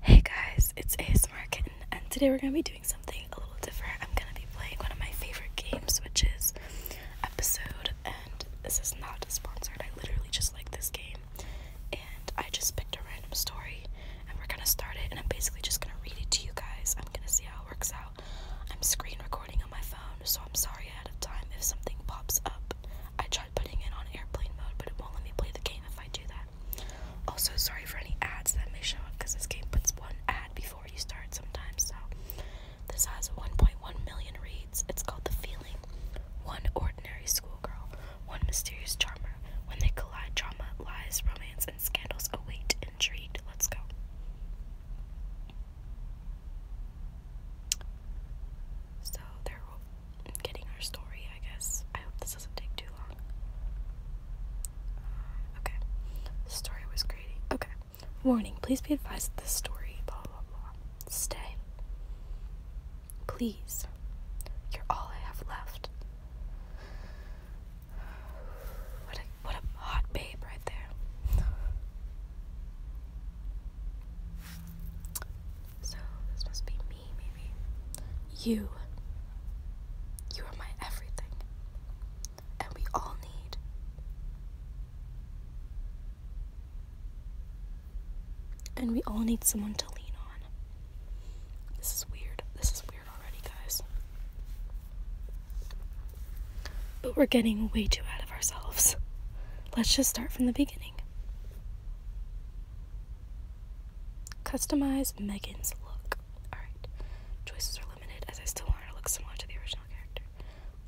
Hey guys, it's ASMR Kitten, and today we're gonna be doing something a little different. I'm gonna be playing one of my favorite games, which is Episode, and this is not sponsored. I literally just like this game, and I just picked a random story, and we're gonna start it, and I'm basically just gonna read it to you guys. I'm gonna see how it works out. I'm screen recording on my phone, so I'm sorry ahead of time if something pops up. I putting it on airplane mode, but it won't let me play the game if I do that. Also, sorry for any ads that may show up because this game puts one ad before you start sometimes. So, this has 1.1 million reads. It's called The Feeling. One ordinary schoolgirl, one mysterious charmer. When they collide, drama, lies, romance, and scandals await intrigued. Let's go. So they're getting our story, I guess. I hope this doesn't take too long. Uh, okay. story was greedy. Okay. Warning, please be advised that this story, blah, blah, blah. Stay. Please. You're all I have left. What a, what a hot babe right there. So this must be me, maybe. You. You are my everything. And we all need. And we all need someone to lean on. This is weird. This is weird already, guys. But we're getting way too out of ourselves. Let's just start from the beginning. Customize Megan's look. Alright. Choices are limited as I still want her to look similar to the original character.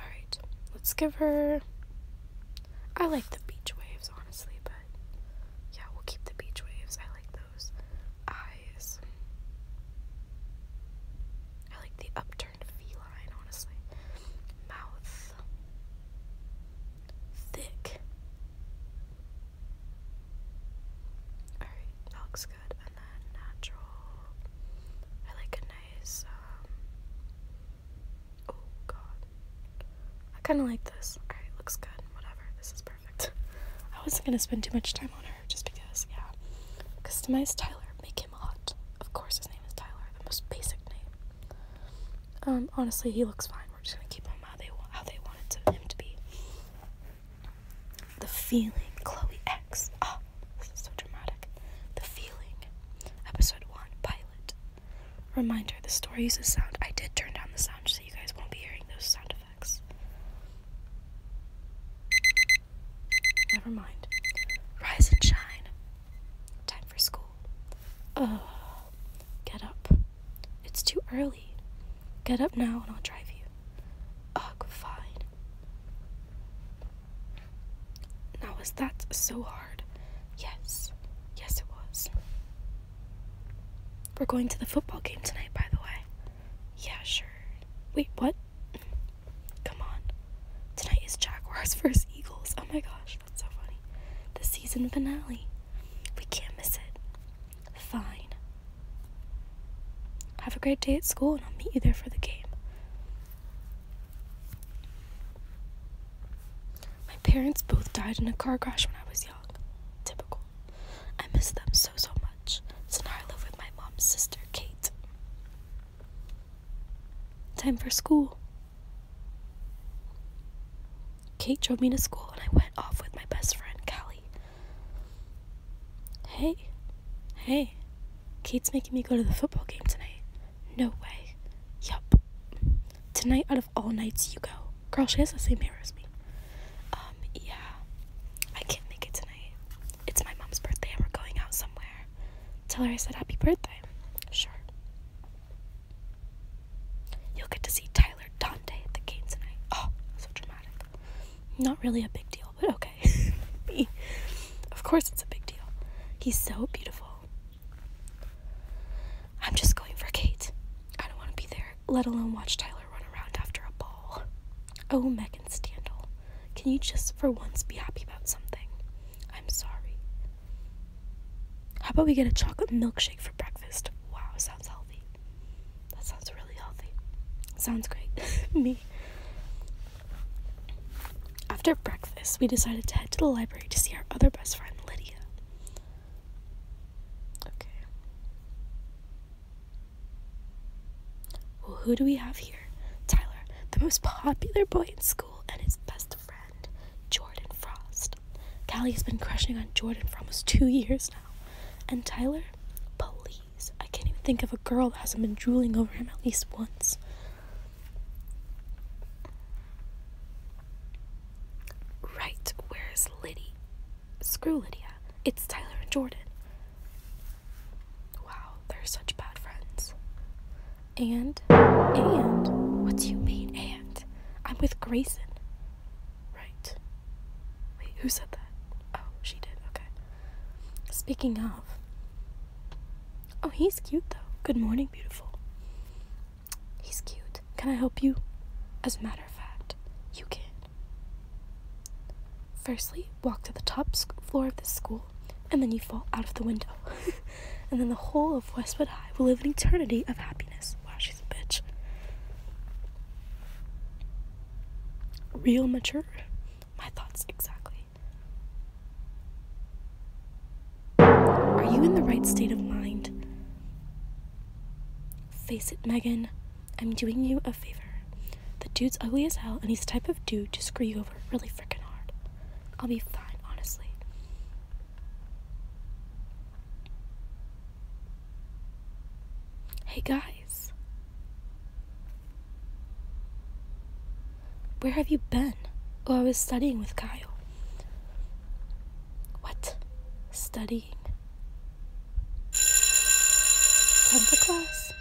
Alright. Let's give her. I like the beach waves, honestly, but yeah, we'll keep the beach waves. I like those eyes. I like the upturned feeling. Mouth. Thick. Alright, that looks good. And then natural. I like a nice, um, Oh, God. I kind of like this. Alright, looks good. Whatever. This is perfect. I wasn't going to spend too much time on her just because, yeah. Customize Tyler. Make him. Of course, his name is Tyler, the most basic name. Um, honestly, he looks fine. We're just gonna keep him how they how they wanted him to be. The feeling, Chloe X. Ah, this is so dramatic. The feeling, episode one, pilot. Reminder: the story uses sound. I did turn down the sound so you guys won't be hearing those sound effects. Never mind. Rise and shine. Time for school. Oh, Get up. It's too early. Get up now and I'll drive you. Ugh, fine. Now, was that so hard? Yes. Yes, it was. We're going to the football game tonight, by the way. Yeah, sure. Wait, what? Come on. Tonight is Jaguars versus Eagles. Oh my gosh, that's so funny. The season finale. We can't miss it. Fine. Have a great day at school and I'll meet you there for the game. My parents both died in a car crash when I was young. Typical. I miss them so, so much. So now I live with my mom's sister, Kate. Time for school. Kate drove me to school and I went off with my best friend, Callie. Hey, hey, Kate's making me go to the football game tonight. No way. Yup. Tonight, out of all nights, you go. Girl, she has the same hair as me. Um, yeah. I can't make it tonight. It's my mom's birthday and we're going out somewhere. Tell her I said happy birthday. Sure. You'll get to see Tyler Dante at the game tonight. Oh, so dramatic. Not really a big deal, but okay. of course, it's a big deal. He's so beautiful. I'm just going for Kate. I don't want to be there, let alone watch Tyler run around after a ball. Oh, Megan Standal, can you just for once be happy about something? I'm sorry. How about we get a chocolate milkshake for breakfast? Wow, sounds healthy. That sounds really healthy. Sounds great. Me. After breakfast, we decided to head to the library to see our other best friend, Lydia. Okay. Well, who do we have here? Tyler, the most popular boy in school, and his best friend, Jordan Frost. Callie has been crushing on Jordan for almost two years now. And Tyler, please, I can't even think of a girl that hasn't been drooling over him at least once. Right, where's Liddy? Screw Lydia. It's Tyler and Jordan. Wow, they're such bad friends. And, and, what do you mean, and? I'm with Grayson. Right. Wait, who said that? Oh, she did, okay. Speaking of, oh, he's cute though. Good morning, beautiful. He's cute. Can I help you? As a matter of fact, you can. Firstly, walk to the top floor of this school, and then you fall out of the window. and then the whole of Westwood High will live an eternity of happiness. Wow, she's a bitch. Real mature? My thoughts exactly. Are you in the right state of mind? Face it, Megan. I'm doing you a favor. The dude's ugly as hell, and he's the type of dude to screw you over really freaking hard. I'll be fine, honestly. Hey guys. Where have you been? Oh, I was studying with Kyle. What? Studying? Time for class.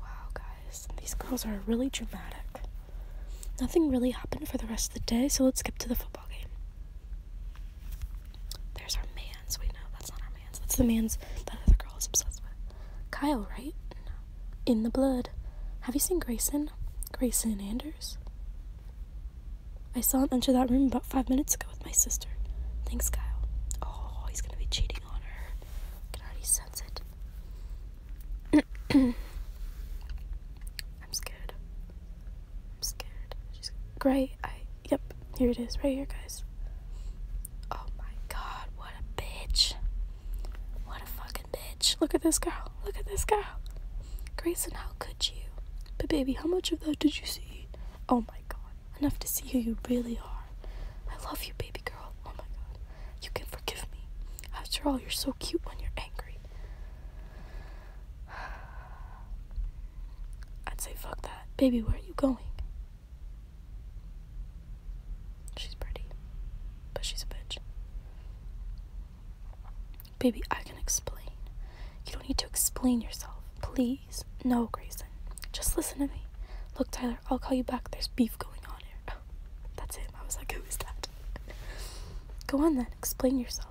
Wow, guys, these girls are really dramatic. Nothing really happened for the rest of the day, so let's skip to the football game. There's our man's. Wait, no, that's not our man's. That's the man's that other girl is obsessed with. Kyle, right? In the blood. Have you seen Grayson? Grayson Anders? I saw him enter that room about five minutes ago with my sister. Thanks, Kyle. Oh, he's gonna be cheating on her. I can already sense it. I'm scared. I'm scared. Gray, I yep, here it is, right here guys. Oh my god, what a bitch. What a fucking bitch. Look at this girl. Look at this girl. Grayson, how could you? But baby, how much of that did you see? Oh my god. Enough to see who you really are. I love you, baby girl. Oh my god. You can forgive me. After all, you're so cute when you're angry. I'd say fuck that. Baby, where are you going? She's pretty, but she's a bitch. Baby, I can explain. You don't need to explain yourself. Please. No, Grayson. Just listen to me. Look, Tyler, I'll call you back. There's beef going on here. that's him. I was like, who is that? Go on then. Explain yourself.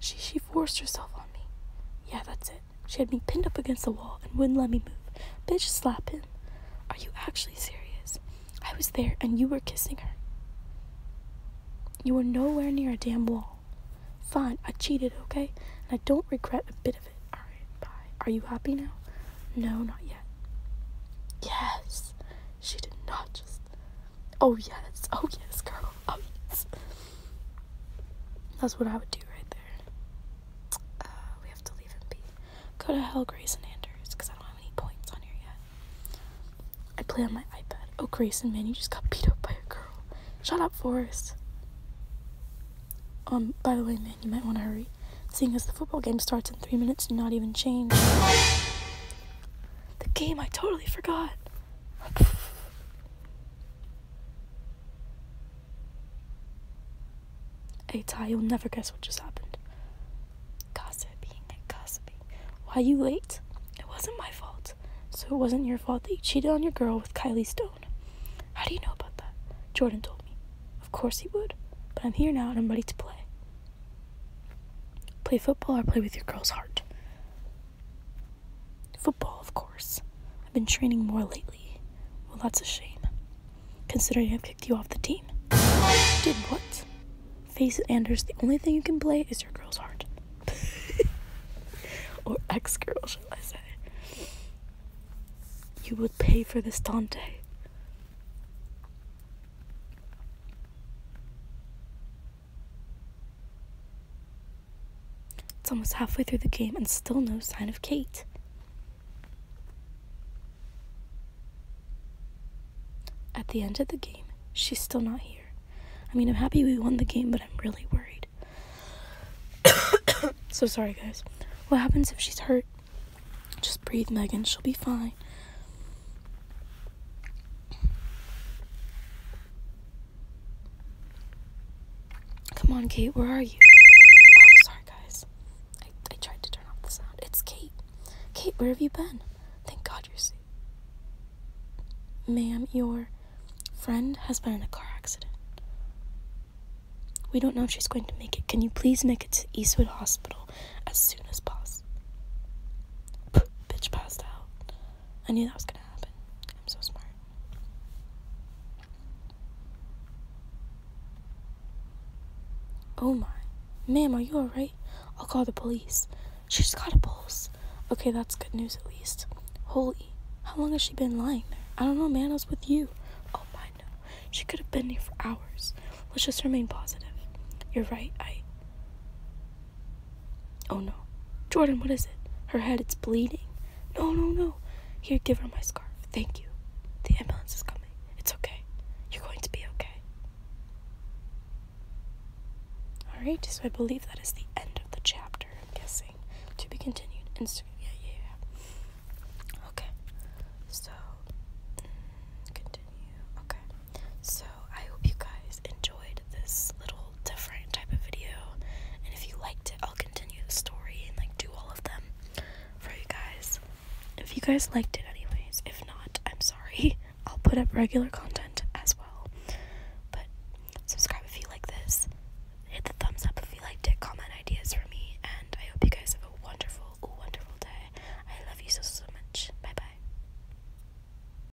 She, she forced herself on me. Yeah, that's it. She had me pinned up against the wall and wouldn't let me move. Bitch, slap him. Are you actually serious? I was there and you were kissing her. You were nowhere near a damn wall. Fine, I cheated, okay? And I don't regret a bit of it. Alright, bye. Are you happy now? No, not yet. Yes. She did not just. Oh, yes. Oh, yes, girl. Oh, yes. That's what I would do right there. Uh, we have to leave him be. Go to hell, Grayson Anders, because I don't have any points on here yet. I play on my iPad. Oh, Grayson, man, you just got beat up by a girl. Shut up, Forest. Um, by the way, man, you might want to hurry, seeing as the football game starts in three minutes and not even change. the game, I totally forgot. Hey Ty, you'll never guess what just happened. Gossiping, gossiping. Why are you late? It wasn't my fault. So it wasn't your fault that you cheated on your girl with Kylie Stone. How do you know about that? Jordan told me. Of course he would. But I'm here now and I'm ready to play. Play football or play with your girl's heart? Football, of course. I've been training more lately. Well, that's a shame, considering I've kicked you off the team. Did what? Face it, Anders, the only thing you can play is your girl's heart. or ex girl, shall I say. You would pay for this, Dante. It's almost halfway through the game and still no sign of Kate. At the end of the game, she's still not here. I mean, I'm happy we won the game, but I'm really worried. so sorry, guys. What happens if she's hurt? Just breathe, Megan. She'll be fine. Come on, Kate, where are you? Oh, sorry, guys. I, I tried to turn off the sound. It's Kate. Kate, where have you been? Thank God you're safe. Ma'am, your friend has been in a car accident. We don't know if she's going to make it. Can you please make it to Eastwood Hospital as soon as possible? Bitch passed out. I knew that was gonna happen. I'm so smart. Oh my. Ma'am, are you alright? I'll call the police. She's got a pulse. Okay, that's good news at least. Holy. How long has she been lying there? I don't know, man. I was with you. Oh my no. She could have been here for hours. Let's just remain positive. You're right. I. Oh no. Jordan, what is it? Her head, it's bleeding. No, no, no. Here, give her my scarf. Thank you. The ambulance is coming. It's okay. You're going to be okay. Alright, so I believe that is the end of the chapter, I'm guessing. To be continued. Instagram. Yeah, yeah, yeah. Okay. So, mm, continue. Okay. So, I hope you guys enjoyed this little different type of video. And if you liked it, I'll continue the story and like do all of them for you guys. If you guys liked it, anyways. If not, I'm sorry. I'll put up regular content as well. But subscribe if you like this. Hit the thumbs up if you liked it. Comment ideas for me. And I hope you guys have a wonderful, wonderful day. I love you so, so much. Bye bye.